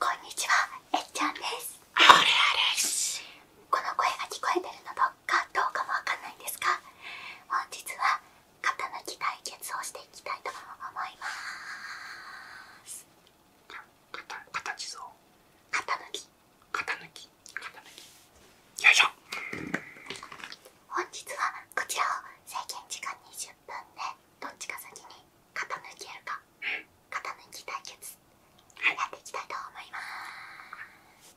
こんにちは、えっちゃんです。この声が聞こえてるのかどうかもわかんないんですが、本日は肩抜き対決をしていきたいと思います。肩抜き肩抜きよいしょ本日はこちらを制限時間20分でどっちか先に型抜やるか型き対決やっていきたいと思います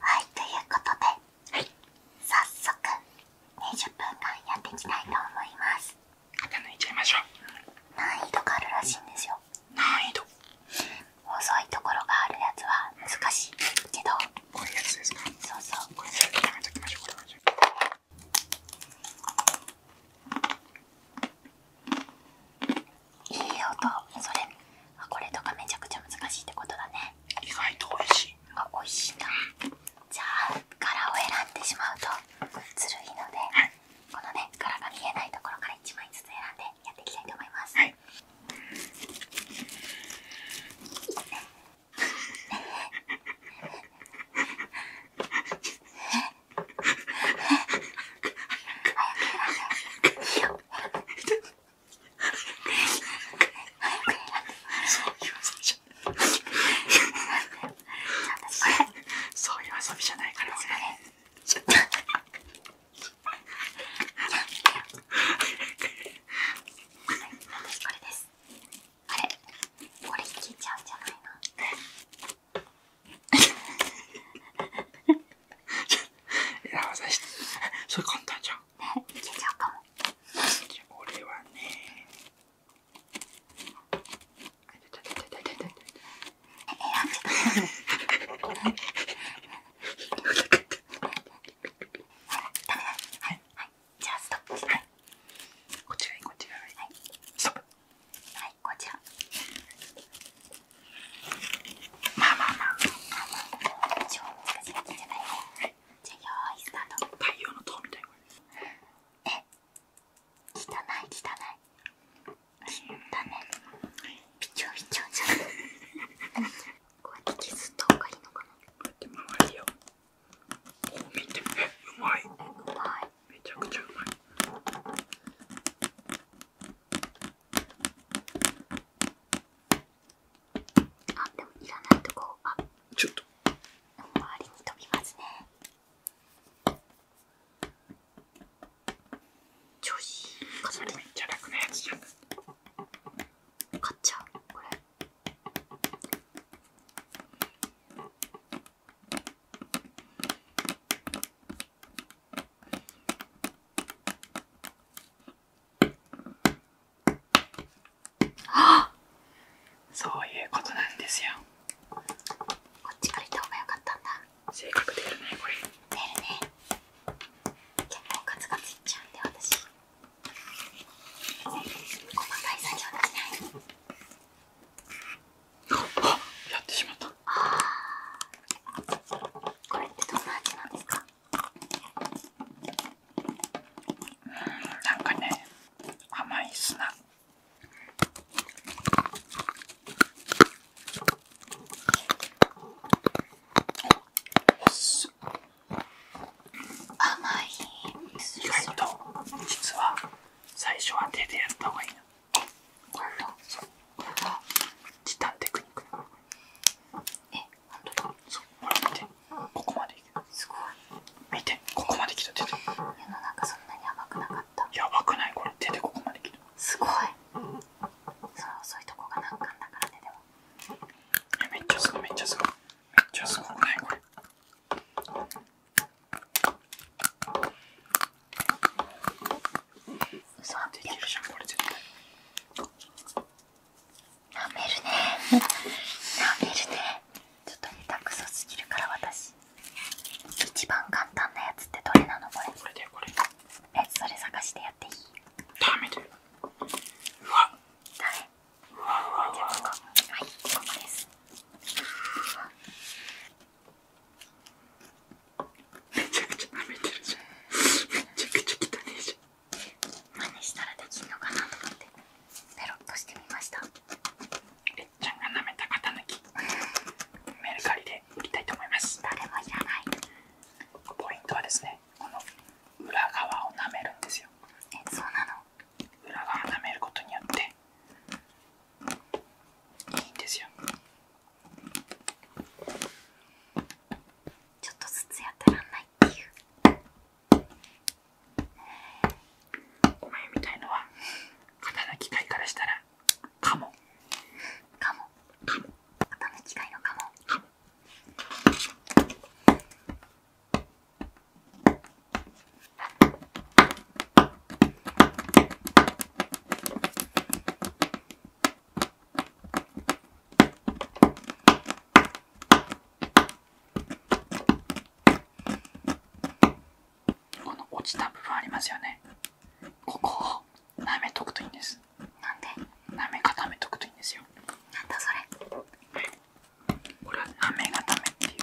はいということで、早速20分間やっていきたいと思います難易度があるらしいんですよ難易度細いところがあるやつは難しいけどこういうやつですかそうそうこれちうこれいい音それあこれとかめちゃくちゃ難しいってことだね意外と美味しいあ美味しいなじゃあ柄を選んでしまうとずるいので、このね柄が見えないところから1枚ずつ選んでやっていきたいと思います、はいそういう遊びじゃないから俺。ちょっとこれです。あれこれ聞ちゃうんじゃないのいや私それ簡単じゃんねいちゃうかも俺はね選んでたダメはいはいじゃあストップはいこちらにこちらにはいこちらまあまあまあまあまあ超難しいやつじゃないねじこうやって削った方がいのかなこうやって周りをこう見てえうまいめちゃくちゃうまいあでもいらないとこあちょっと周りに飛びますね調子めっちゃ楽なやつじゃん買っちゃうこれあそういうことなんですよこっち借りた方が良かったんだ性格出るねこれ出るね結構ガツガツいっちゃうんで私細かい作業できないあやってしまったこれってどんな味なんですかうんなんかね甘い砂おっすす甘いです実は最初は手でやった方がいいそうこえうほら見てすごい見てここまで来た手でやばくない手でここまで来たすごいその遅いとこが難関だからねでもめっちゃすごいめっちゃすごいめっちゃすごないこれ嘘できるめるねなめるねちょっと下手くそすぎるから私一番簡単なやつってどれなのこれこれだこれえそれ探してやっていいダメだよはいここですめちゃくちゃなめてるじゃんめちゃくちゃ汚いじゃん真似したらできんのかなと思ってペロッとしてみましたれっちゃんが舐めた肩抜きメルカリで売りたいと思います誰もいらないポイントはですねこの裏側を舐めるんですよな裏側を舐めることによっていいんですよちょっとずつやってらんないっていうお前みたいのは肩の機械からしたらカモカモカ肩の機械のカモカモこの落ちた部分ありますよねここ舐めとくといいんですなんで舐め固めとくといいんですよなんだそれこれは舐め固めっていう舐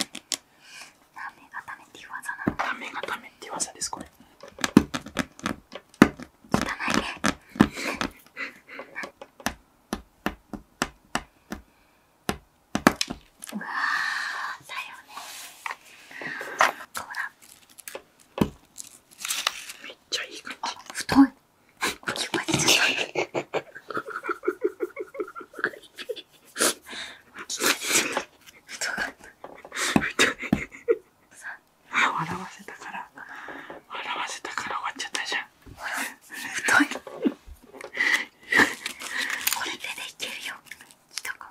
め固めっていう技なの舐め固めっていう技ですこれ汚いねうわだよねこうめっちゃいい感じ太い大きちゃい太かい笑わせたから笑わせたから終わっちゃったじゃん太いこれでいけるよ来たか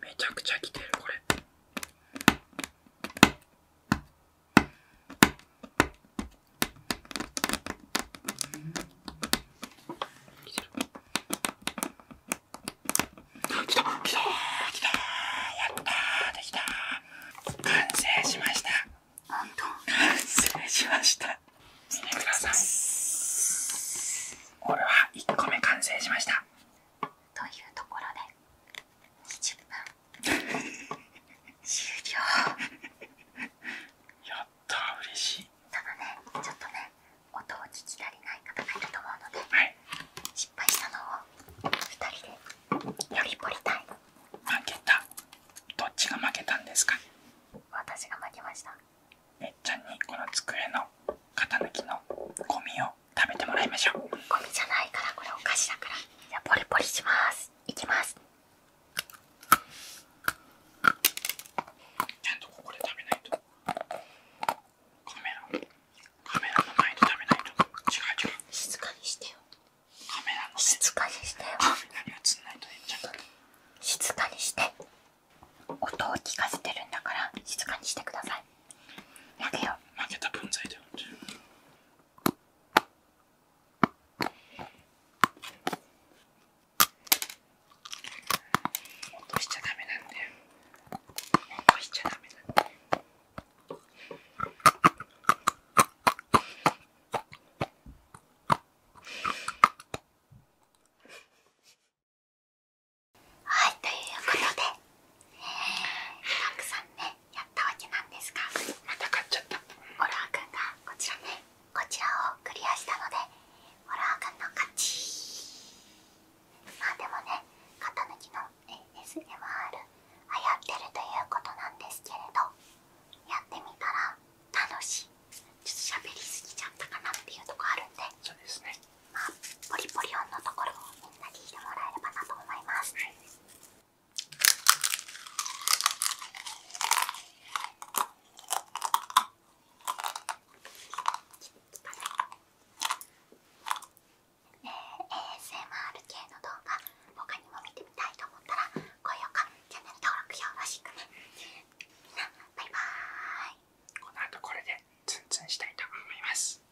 めちゃくちゃきてるこれきてきたきたきたやたできた完成しました失礼しました見てください俺は1個目完成しましたというところで20分終了やったー嬉しいただねちょっとね音を聞き足りない方がいると思うので、失敗したのを2人でよりポリタイ負けたどっちが負けたんですかしためっちゃにこの机の型抜きのゴミを食べてもらいましょうゴミじゃないからこれお菓子だからじゃあポリポリしますいきますちゃんとここで食べないとカメラカメラの前で食べないと静かにしてよ静かにしてよ静かにして音を聞かせてるんだから静かにしてください負けた分際だよ落としちゃダメだよ落としちゃダメだよはいということで、たくさんねやったわけなんですがまた買っちゃったホラーくんがこちらねこちらをクリアしたのでホラーくんの勝ちまあでもね肩抜きの ASMR 流行ってるということなんですけれどやってみたら楽しいちょっと喋りすぎちゃったかなっていうとこあるんでポリポリ音のところをみんなに聞いてもらえればなと思います、はえ ASMR 系の動画他にも見てみたいと思ったら高評価チャンネル登録よろしくねみんバイバーイこの後これでツンツンしたいと思います